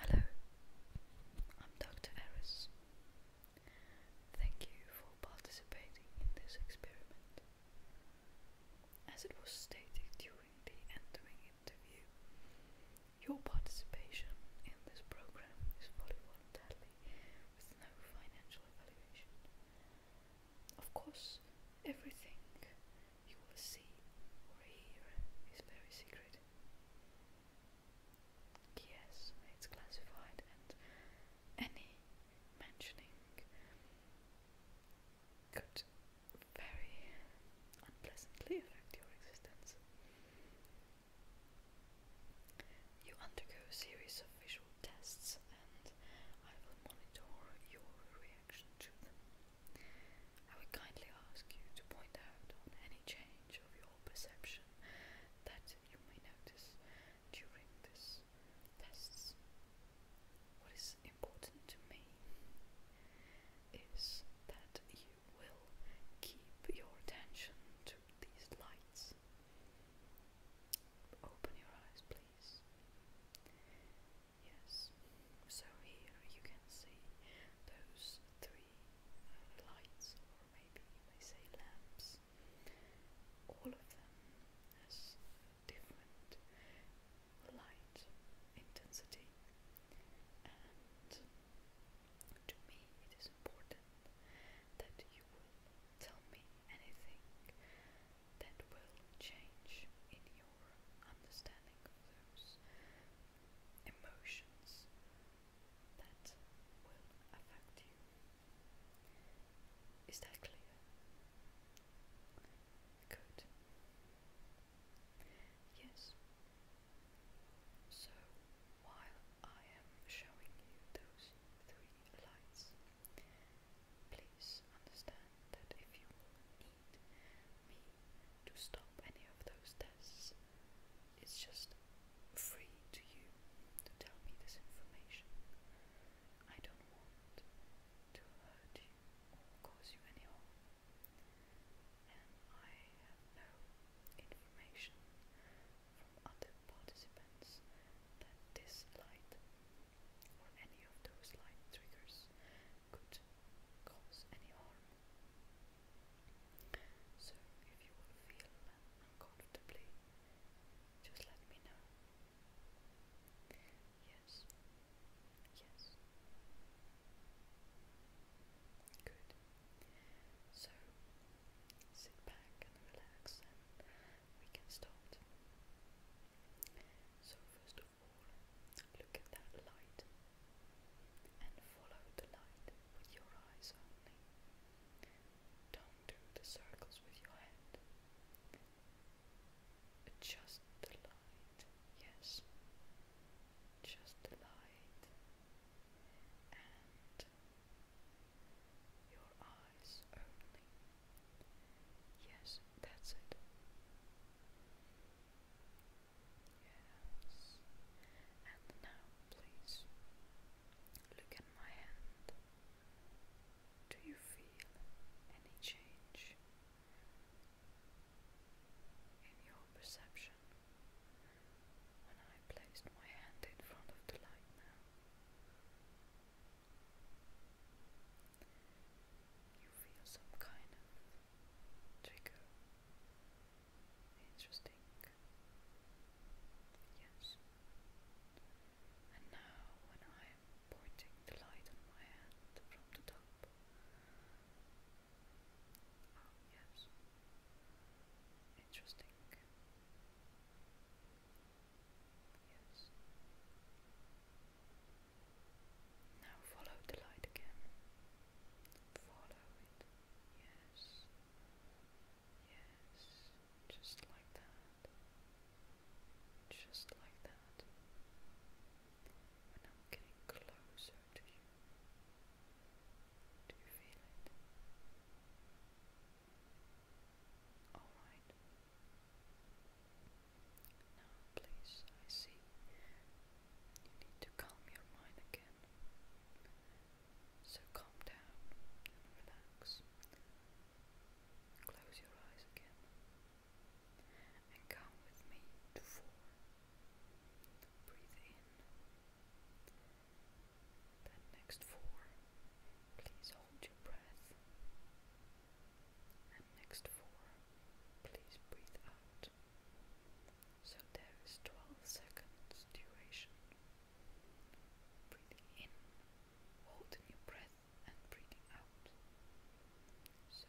Hello, I'm Dr. Eris. Thank you for participating in this experiment. As it was stated during the entering interview, your participation in this program is fully voluntarily with no financial evaluation. Of course, everything you will see or hear is very secret. Yes, it's classified, and any mentioning could very unpleasantly affect your existence. You undergo a series of visual tests, and I will monitor your reaction to them. I would kindly ask you to point out on any change of your perception that you may notice during this test. What is important to me is that you will keep your attention to these lights. Open your eyes, please. Yes. So here you can see those three uh, lights, or maybe you may say lamps. All of them has different light intensity, and to me it is important that you will tell me anything that will change in your understanding of those emotions that will affect you. Is that clear? Good. Yes. So while I am showing you those three lights, Please understand that if you need me to stop any of those tests, it's just free to you to tell me this information. I don't want to hurt you or cause you any harm. And I have no information from other participants that this light or any of those light triggers could cause any harm. So if you will feel uncomfortably, just let me know. Yes. Yes. Good. So sit back and relax we can start. So first of all, look at that light and follow the light with your eyes only. Don't do the circles with your head. Just the light, yes. Just the light. And your eyes lives only. Yes, that's it. Yes. And now, please, look at my hand. Do you feel any change in your perception when I placed my hand in front of the light now? You feel some kind of trigger. Interesting. Yes. And now, when I am pointing the light on my hand from the top. Ah, yes. Interesting. Yes. Now follow the light again. Follow it. Yes. Yes. Just like that. Just like that. I'm getting closer to you. Do you feel it? Alright. Now, please, I see. You need to calm your mind again. So calm down relax. Close your eyes again. And count with me to four. Breathe in. Then next four, please hold your breath. And next four, please breathe out. So there is 12 seconds duration. Breathing in, holding your breath, and breathing out. So,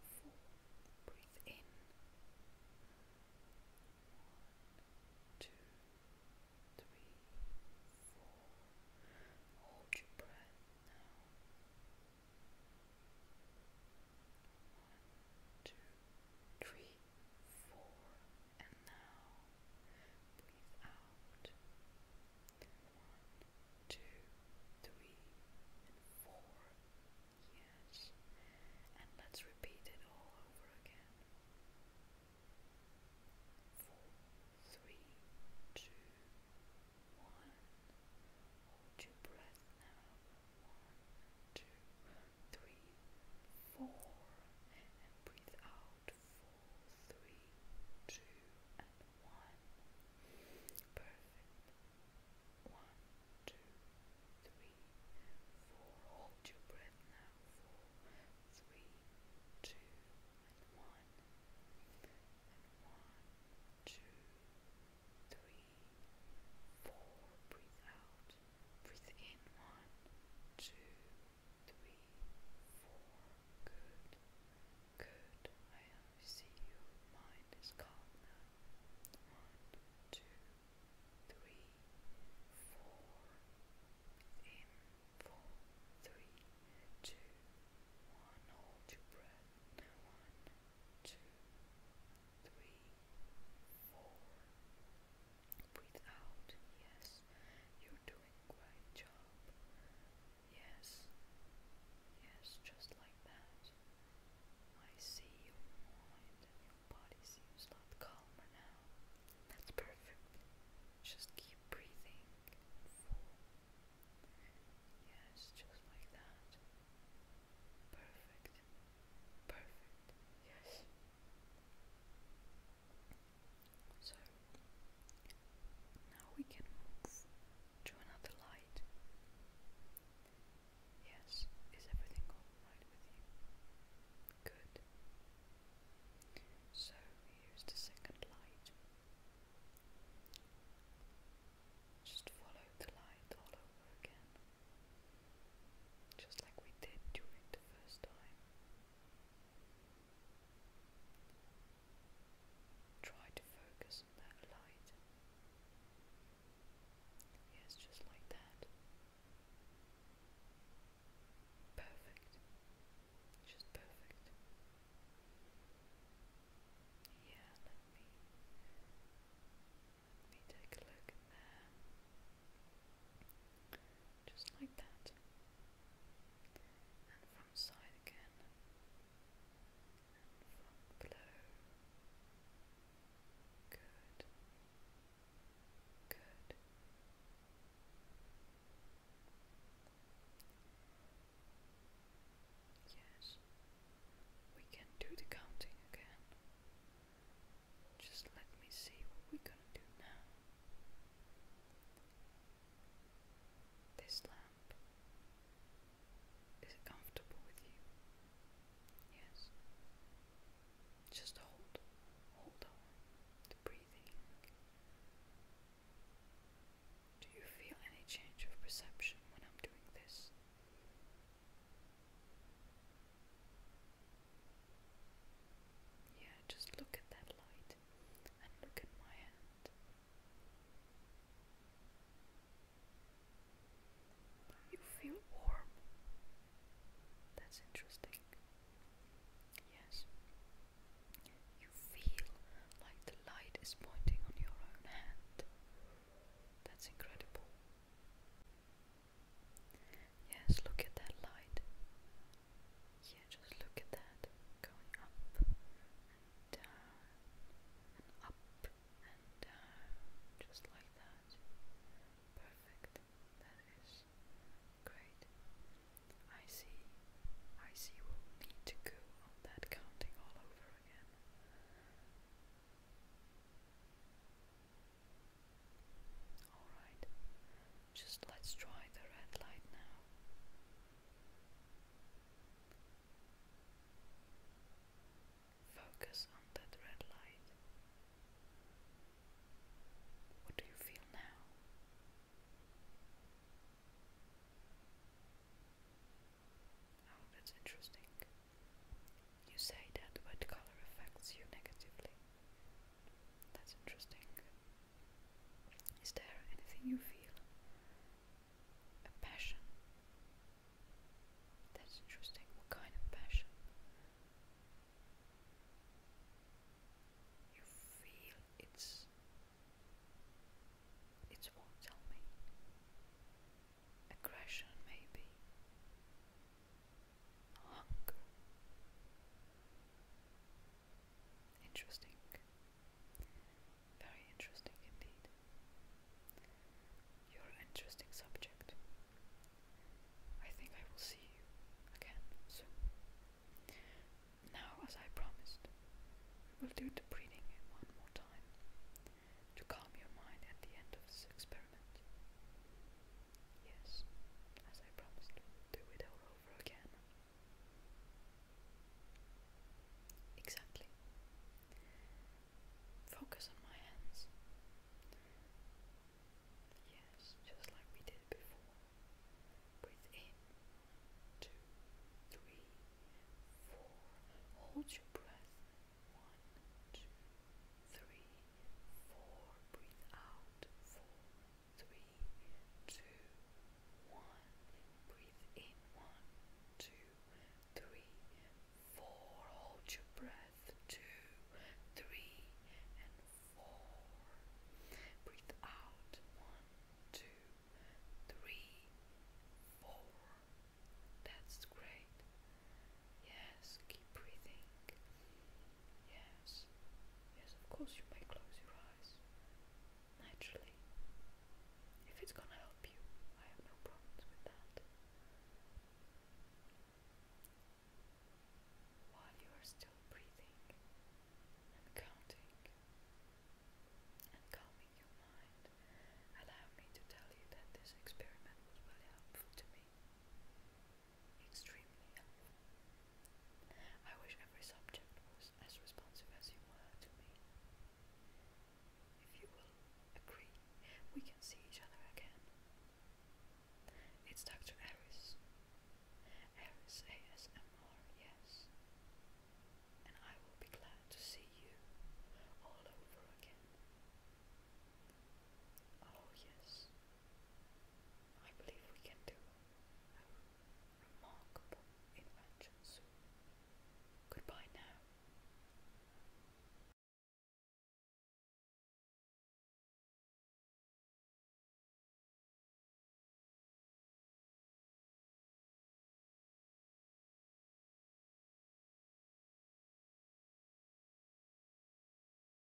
four, breathe in. One, two, three, four. Hold your breath now. One, two, three, four. And now breathe out. One, two, three, Yes. And let's repeat it all over again. Four, three, two, one. Hold your breath now. One, two, three, four. And breathe out. Four, three, two, and one. Perfect. One, two, three, four. Hold your breath now. Four, three, two, one, two, three, four. Breathe out. Breathe in. One, two, three, four. Good. Good. I see your mind is calm now. One, two, three, four. In four, three, two, one. Hold your breath. One, two, three, four. Breathe out. Yes, you're doing a great job. Yes, yes, just like that. I see your mind and your body seems a calmer now. That's perfect. Just keep breathing Yes, just like that. Perfect. Perfect. Yes. So now we can move to another light. Yes, is everything alright with you? Good. So here's the second light. Just follow the light all over again, just like we did during the first time. Try to focus Yes, just like that. Perfect. Just perfect. Yeah, let me let me take a look there. Just like that. And from side again. Good. Good. Yes. We can do the counting again. Just let me see what we're gonna do now. This lamp is it comfortable with you? Yes. Just hold, hold on breathing. Do you feel any change of perception when I'm doing this? Yeah, just look at that light and look at my hand. You feel warm. That's interesting. Yes. You feel like the light is pointing on your own hand. That's incredible. Yes, look at that light. Yeah, just look at that going up up and down, just like that. Perfect. That is great. I see. I see we'll need to go on that counting all over again. Alright, just let's try the red light now. Focus on that red light. What do you feel now? Oh, that's interesting. You say that white color affects you negatively. That's interesting. Is there anything you feel? A passion? That's interesting. What kind of passion? You feel it's. It's what? Tell me. Aggression, maybe. Hunger. Interesting. Very interesting indeed. you interesting subject. I think I will see you again soon. Now, as I promised, we will do the breathing one more time to calm your mind at the end of this experiment. Yes, as I promised, do it all over again. Exactly. Focus on my hands. Yes, just like we did before. Breathe Two, three, four. Hold your breath. One, two, three, four. Breathe out. Four, three, two, Breathe in one, two, three, four. Hold your breath, two, three, and four. Breathe out, one, two, three, four. That's great. Yes, keep breathing. Yes, yes, of course you may close your eyes. Naturally. If it's gonna help you, I have no problems with that. While you are still breathing counting and calming your mind, allow me to tell you that this experiment was really helpful to me extremely I wish every subject was as responsive as you were to me. If you will agree, we can see each other again. It's Dr. Ares. Harris ASMR, yes. And I will be glad to see you all over again. Oh, yes. I believe we can do remarkable invention Goodbye now.